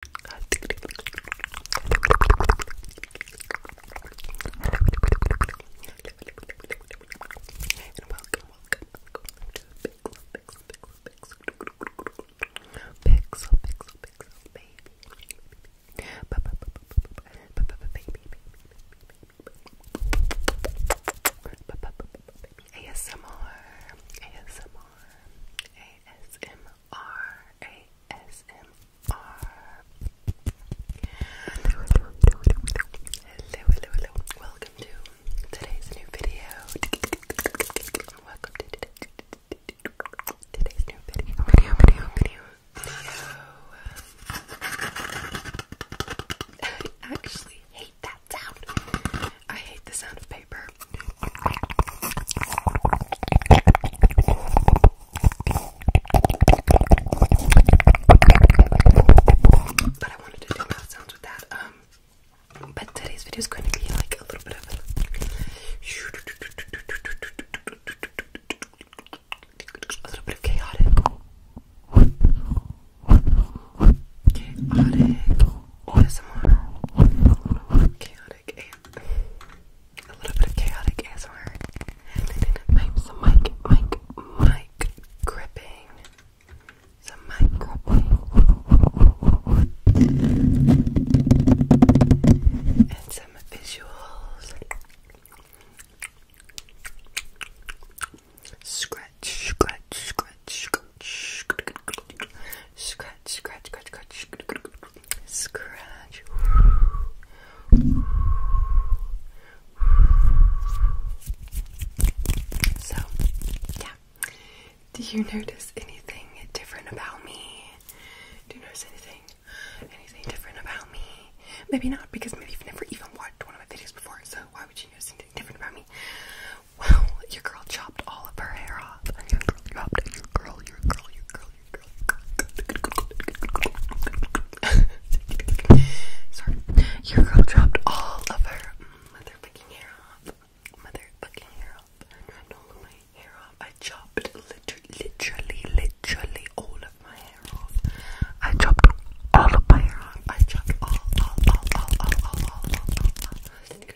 ASMR, ASMR, ASMR. Hello, hello, hello. Welcome to today's new video. Welcome to today's new Video, video, video. Video. I actually hate that sound. I hate the sound of paper. But I wanted um, today's video is going to be like a little bit of. A little bit of Chaotic. ASMR. Chaotic A A little bit of chaotic ASMR. I'm some mic, mic, mic gripping. Some mic gripping. And some visuals. Scratch, scratch, scratch scratch, scratch, scratch, scratch, scratch, So, yeah. Do you notice anything different about me? Do you notice anything, anything different about me? Maybe not, because maybe you've never even watched one of my videos before, so why would you notice anything different about me. Well, your girl chopped all of her hair off. And your girl chopped your girl, your girl, your girl, your girl, your girl. Sorry. Your girl chopped all of her motherfucking hair off. Motherfucking hair off. I chopped all of my hair off. I chopped literally, literally, literally all of my hair off. I chopped all of my hair off. I chopped all, all, all, all, all, all, all, all, all, all.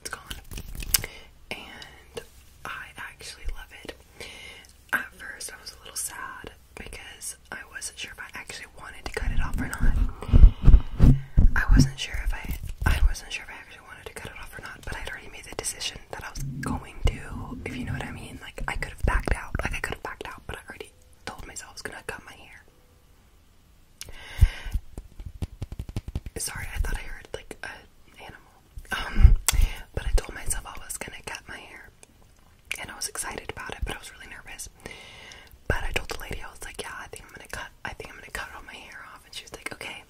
it's gone. And I actually love it. At first, I was a little sad because I wasn't sure if I actually wanted to cut it off or not. I wasn't sure if I, I wasn't sure if I actually wanted to cut it off or not. But I'd already made the decision that I was going to, if you know what I mean. Like I could have backed out, like I could have backed out, but I already told myself I was gonna cut my hair. Sorry, I thought I heard like an animal. Um, but I told myself I was gonna cut my hair, and I was excited about it, but I was really nervous. But I told the lady I was like, "Yeah, I think I'm gonna cut. I think I'm gonna cut all my hair off," and she was like, "Okay."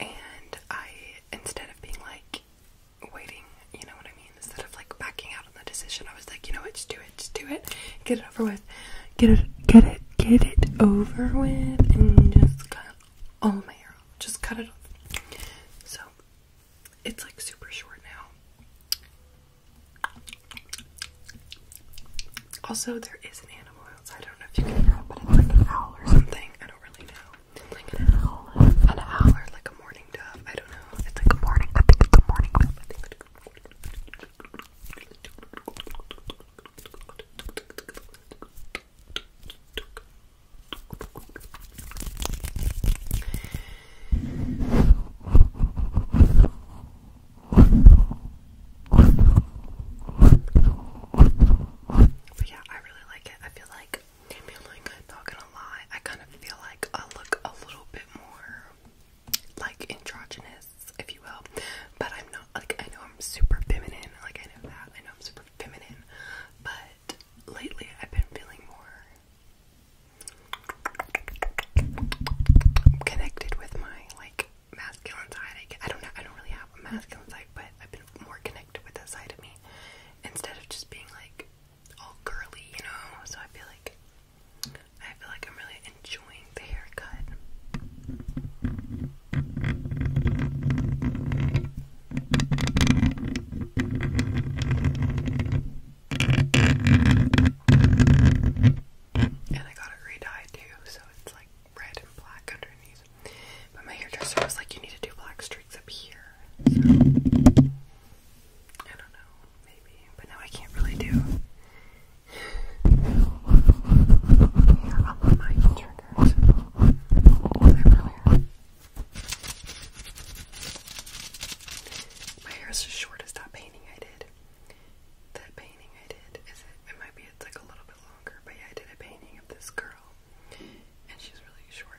And I, instead of being like waiting, you know what I mean, instead of like backing out on the decision, I was like, "You know what? Just do just do it, get it over with, get it, get it, get it over with, and just cut all my hair just cut it off. So it's like super short now. Also, there is an animal outside. I don't know if you can hear but it's like an owl or something. I don't really know. like an owl, an owl, like a morning dove. I don't know. It's like a morning. I think it's a morning but yeah, I really like it. I feel like, I feel like, I'm not gonna lie, I kind of feel like I look a little bit more like androgynous, if you will. But I'm not like I know I'm super feminine, like I know that. I know I'm super feminine, but lately I've been feeling more connected with my like masculine side. I, don't know. I don't really have a masculine side, but I've been more connected with that side of me instead of just being like all girly, you know. So I feel like I feel like I'm really enjoying the haircut. And I got it re too, so it's like red and black underneath. But my hairdresser was like, you need to do black streaks up here. I don't know. Maybe, but now I can't really do. My hair is as short as that painting I did. That painting I did is it? It might be it's like a little bit longer, but yeah, I did a painting of this girl, and she's really short.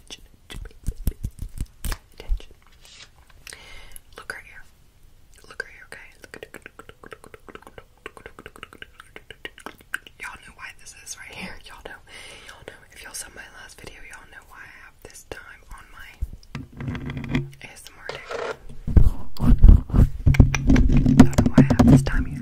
attention. Attention. Look right here. Look right here, okay? Y'all know why this is right here. Y'all know. Y'all know. If y'all saw my last video, y'all know why I have this time on my ASMR day. Y'all why I have this time here.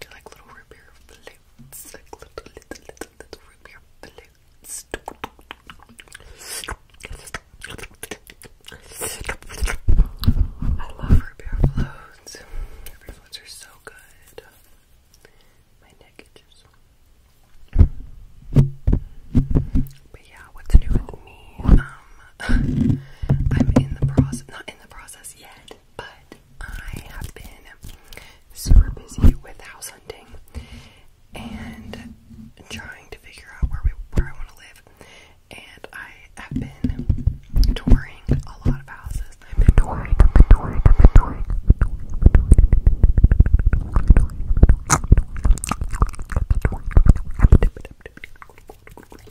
they're like little root beer flutes. Like little, little, little, little root beer flutes. I love root beer floats. Root beer floats are so good. My neck itches. But yeah, what's new with me? Um, I'm in the process, not in the process yet, but I have been super busy with house hunting and trying to figure out where we where I want to live. And I have been touring a lot of houses. I've been touring, I've been touring, I've touring.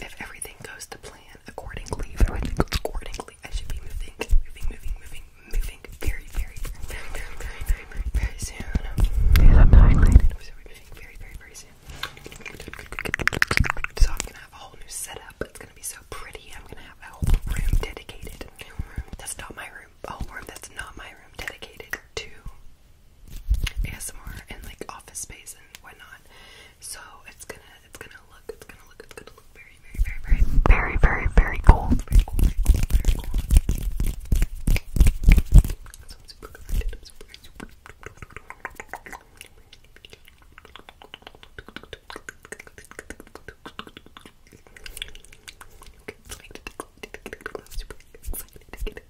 If everything goes to plan accordingly, accordingly, I should be moving, moving, moving, moving, moving very, very, very, very, very, very, soon. I'm not excited. moving very, very, very soon. So I'm gonna have a whole new setup. It's gonna be so pretty. I'm gonna have a whole room dedicated. That's not my room. whole room that's not my room dedicated to ASMR and like office space and whatnot. So it's gonna it's gonna look it's gonna look it's gonna look very very very very very very very cool. Very cool, very cool, very cool. So I'm super excited. I'm super super Okay, excited. I'm super excited to get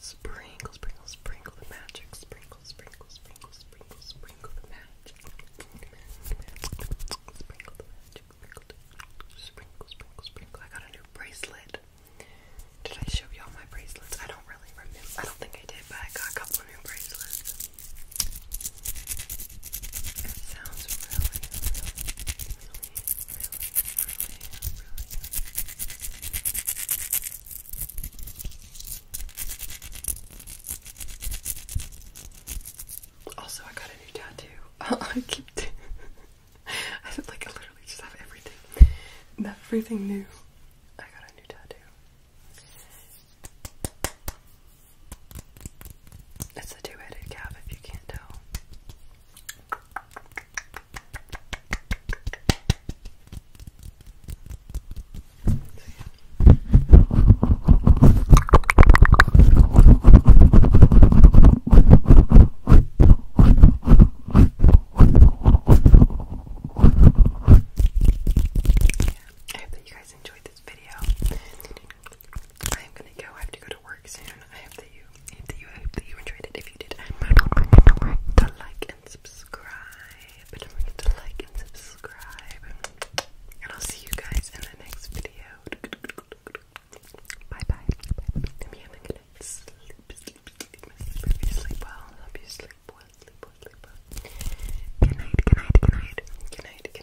Sprinkle, sprinkle, sprinkle the magic. Sprinkle, sprinkle, sprinkle, sprinkle, sprinkle the magic. Sprinkle the magic. Sprinkle, sprinkle, sprinkle. I got a new bracelet. Did I show y'all my bracelets? I don't really remember. I don't think I did, but I got a couple new bracelets. It sounds really, really, really, really, really, really also, I got a new tattoo. I keep. I said like I literally just have everything. Everything new. I got a new tattoo. It's a two-headed calf if you can't tell. I hope that you guys enjoyed this video. I am gonna go. I have to go to work soon. I hope that you, I hope that you, enjoyed it. If you did, remember to like, like and subscribe. Don't forget to like and subscribe. And I'll see you guys in the next video. Bye bye. have a good night. Sleep, well, hope you sleep well, good night, good night, good night, good night, good night.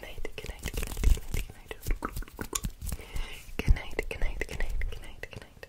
Good night, good night, good night, good night, good night.